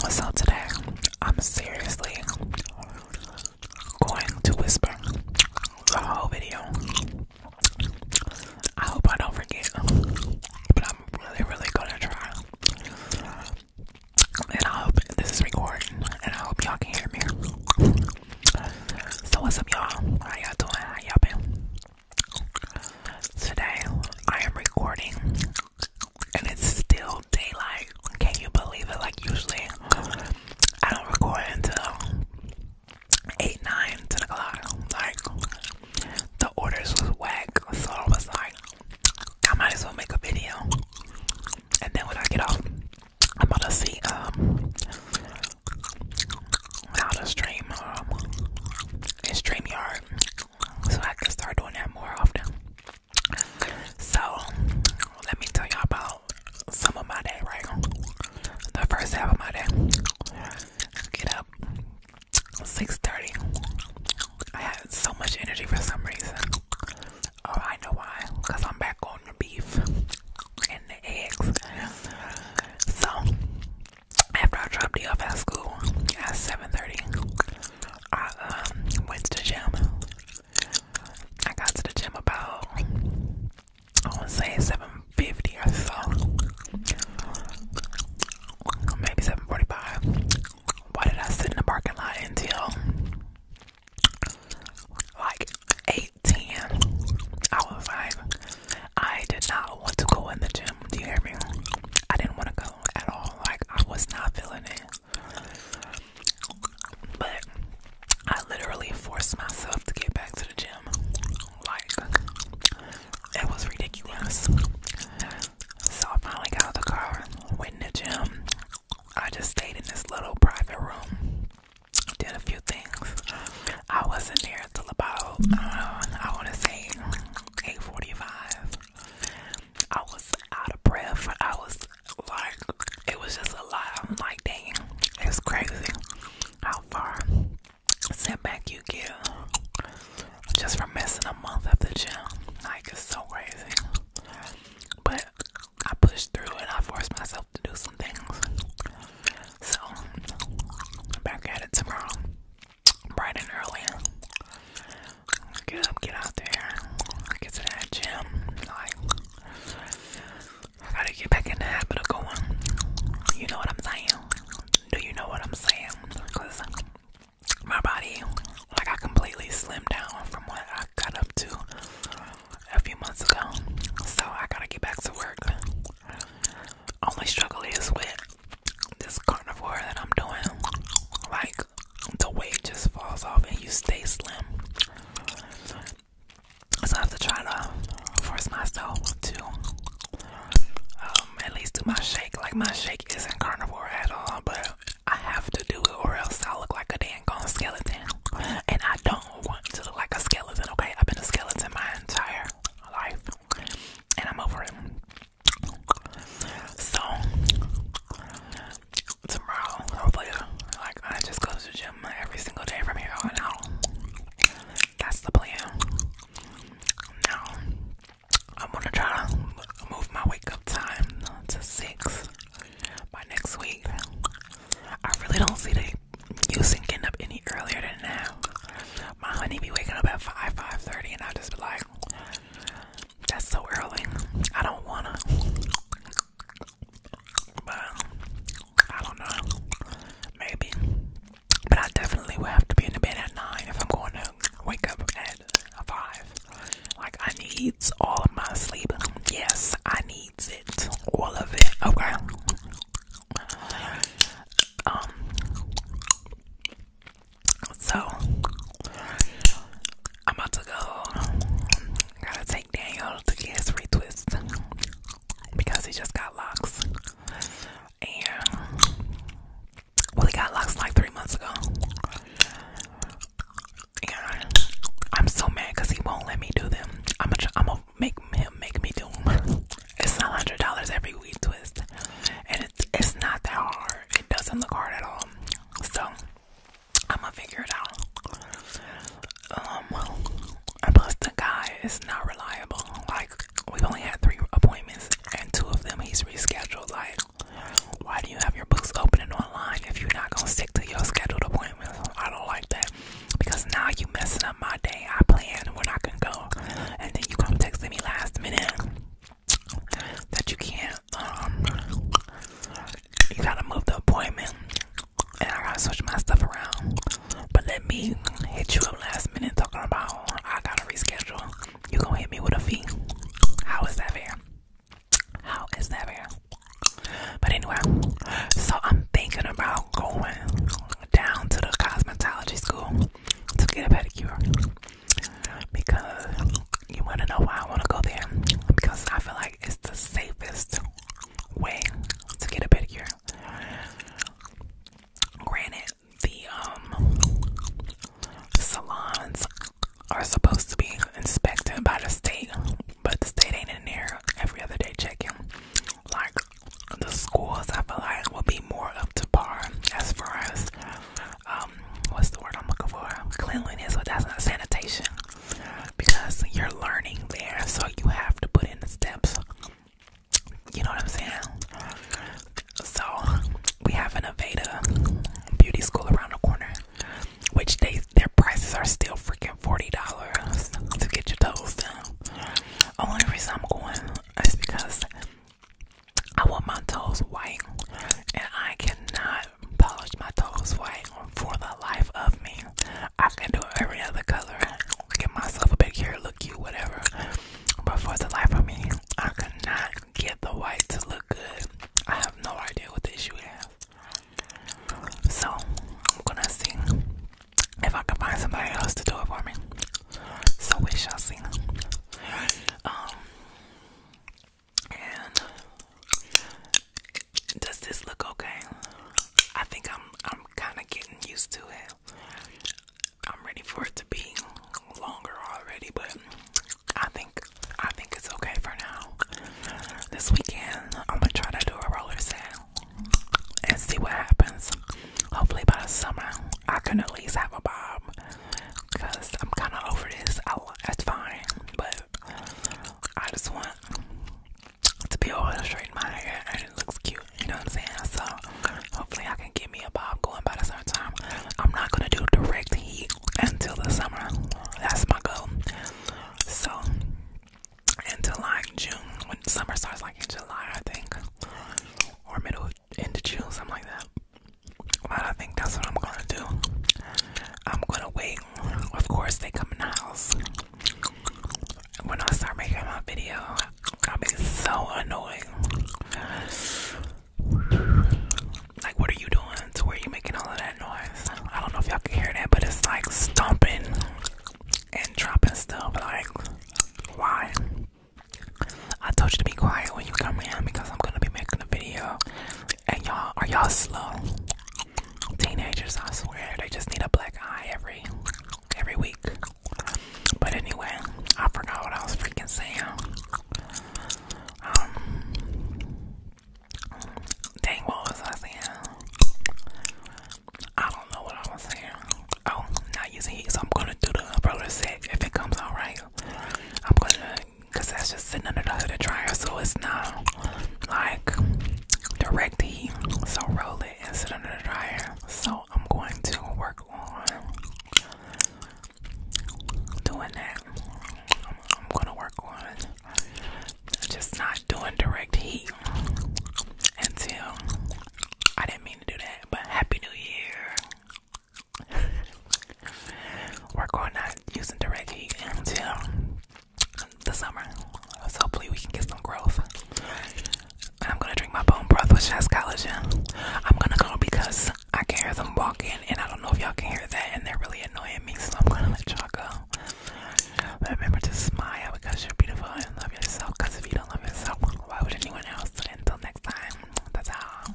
What's up today, I'm seriously going to whisper the whole video. I hope I don't forget, but I'm really, really gonna try. And I hope this is recording, and I hope y'all can hear me. So, what's up, y'all? How y'all doing? How y'all been? Today, I am recording, and it's still daylight. Can you believe it? Like, usually, I don't record until 8, 9, 10 o'clock. Like, the orders was whack. So I was like, I might as well make a video. And then when I get off, I'm gonna see um how to stream um in StreamYard. So I can start doing that more often. So let me tell y'all about some of my day, right? The first half of my day. Get up. 6:30. I had so much energy for some reason. Oh, I know why. Cause I'm back on the beef and the eggs. So after I dropped you off at school at 7:30, I um, went to the gym. I got to the gym about I would say 750 or so. Maybe 745. Why did I sit in the parking lot until like 810? I was like, I did not want to go in the gym. Do you hear me? I didn't want to go at all. Like, I was not feeling it. But I literally forced myself to get back to the gym. Like, it was ridiculous. So I finally got out the car, went in the gym. I just stayed in this little private room, did a few things. I wasn't there till about, uh, I want to say, 8.45. I was out of breath. I was like, it was just a lot. I'm like, dang, it's crazy how far setback you get just for missing a month at the gym. Like, it's so crazy. But I pushed through and I forced myself to do some things. So, back at it tomorrow, bright and early. Get up, get out there, get to that gym. Like, I gotta get back in the habit of going. You know what I'm saying? Do you know what I'm saying? Cause my body, like I completely slimmed down from what I got up to a few months ago. So I gotta get back to work. Only struggle is with this carnivore that I'm doing. Like the weight just falls off and you stay slim. So I have to try to force myself to um, at least do my shake. Like my shake isn't carnivore at all, but I have to do it or else I look like a dang gone skeleton. And I don't want to look like a skeleton, okay? I've been a skeleton my entire life. And I'm over it. So tomorrow, hopefully, like I just go to gym every single day from here on out. That's the plan. Now, I'm gonna try to move my wake up time to 6 by next week. I really don't see the use in up any earlier than now. My honey be waking up at 5, 5.30 and I just be like, that's so early. I don't wanna. But I don't know. Maybe. But I definitely would have to be in the bed at nine if I'm going to wake up at five. Like I need all of my sleep. Yes, I need it. All of it. Okay. Um so I'm about to go Gotta take Daniel to get his retwist because he just got locks. And well, he got locks like three months ago. And I'm so mad because he won't let me do them. I'm gonna I'm gonna make him make me do them. It's a hundred dollars every week twist, and it's it's not that hard. It doesn't look hard at all. So I'm gonna figure it out. Um, plus the guy is not reliable. Like we've only had three appointments, and two of them he's rescheduled. Like, why do you have your books open and online if you're not gonna stick to your scheduled appointments? I don't like that because now you messing up my day. I planned when I can go, and then you come texting me last minute that you can't. Um, you gotta move the appointment and I gotta switch my stuff around. But let me hit you up last minute talking about I gotta reschedule. You gonna hit me with a fee? How is that fair? How is that fair? But anyway, so I'm thinking about going down to the cosmetology school to get a pedicure because you wanna know why I wanna go there because I feel like it's the safest way to get a pedicure. Granted, the um, salons are supposed to be inspected by the state, but the state ain't in there every other day checking. Like the schools, I feel like will be more up to par as far as um what's the word I'm looking for? Cleanliness, but that's not sanitation because you're learning there, so you have to put in the steps. You know what I'm saying? So we have an Aveda beauty school around the corner, which they their prices are still freaking forty dollars to get your toes done. Only reason I'm going is because I want my toes white, and I cannot polish my toes white for the life of me. I can do every other color, get myself a big hair, look cute, whatever. But for the life of me, I could not get the white to look good. I have no idea what the issue is. So I'm gonna see if I can find somebody else to do it for me. So we shall sing. Um does this look okay? I think I'm I'm kind of getting used to it. I'm ready for it to be longer already, but I think I think it's okay for now. This weekend I'm gonna try to do a roller set and see what happens. Hopefully by the summer I can at least have a bob because I'm kind of over this. I, that's fine, but I just want to be all straight in my hair and it looks cute. You know what I'm saying? So hopefully I can get me a bob going by the summertime. I'm not gonna do direct heat until the summer. That's my goal. So until like June, when summer starts like in July, I think, or middle into June, something like that. But I think that's what I'm gonna do. I'm gonna wait. Of course, they come in the house. When I start making my video, I'll be so annoying. Like, what are you doing to where you making all of that noise? I don't know if y'all can hear that, but it's like stomping and dropping stuff. Like, why? I told you to be quiet when you come in because I'm gonna be making a video and y'all, are y'all slow? Teenagers, I swear, they just need a black eye every every week. But anyway, I forgot what I was freaking saying. Um, dang, what was I saying? I don't know what I was saying. Oh, not using heat, so I'm gonna do the umbrella set if it comes out right. I'm gonna because that's just sitting under the dryer, so it's not like direct heat. So roll it and sit under the dryer. So I'm going to work on doing that. I'm, I'm gonna work on just not doing direct heat until I didn't mean to do that. But happy New Year. We're going to out using direct heat until the summer. hopefully we can get some growth. I'm gonna drink my bone broth, with has collagen. I'm gonna go because I can hear them walking, and I don't know if y'all can hear that, and they're really annoying me. So I'm gonna let y'all go. But remember to smile because you're beautiful and love yourself. Because if you don't love yourself, why would anyone else? Until next time, that's all.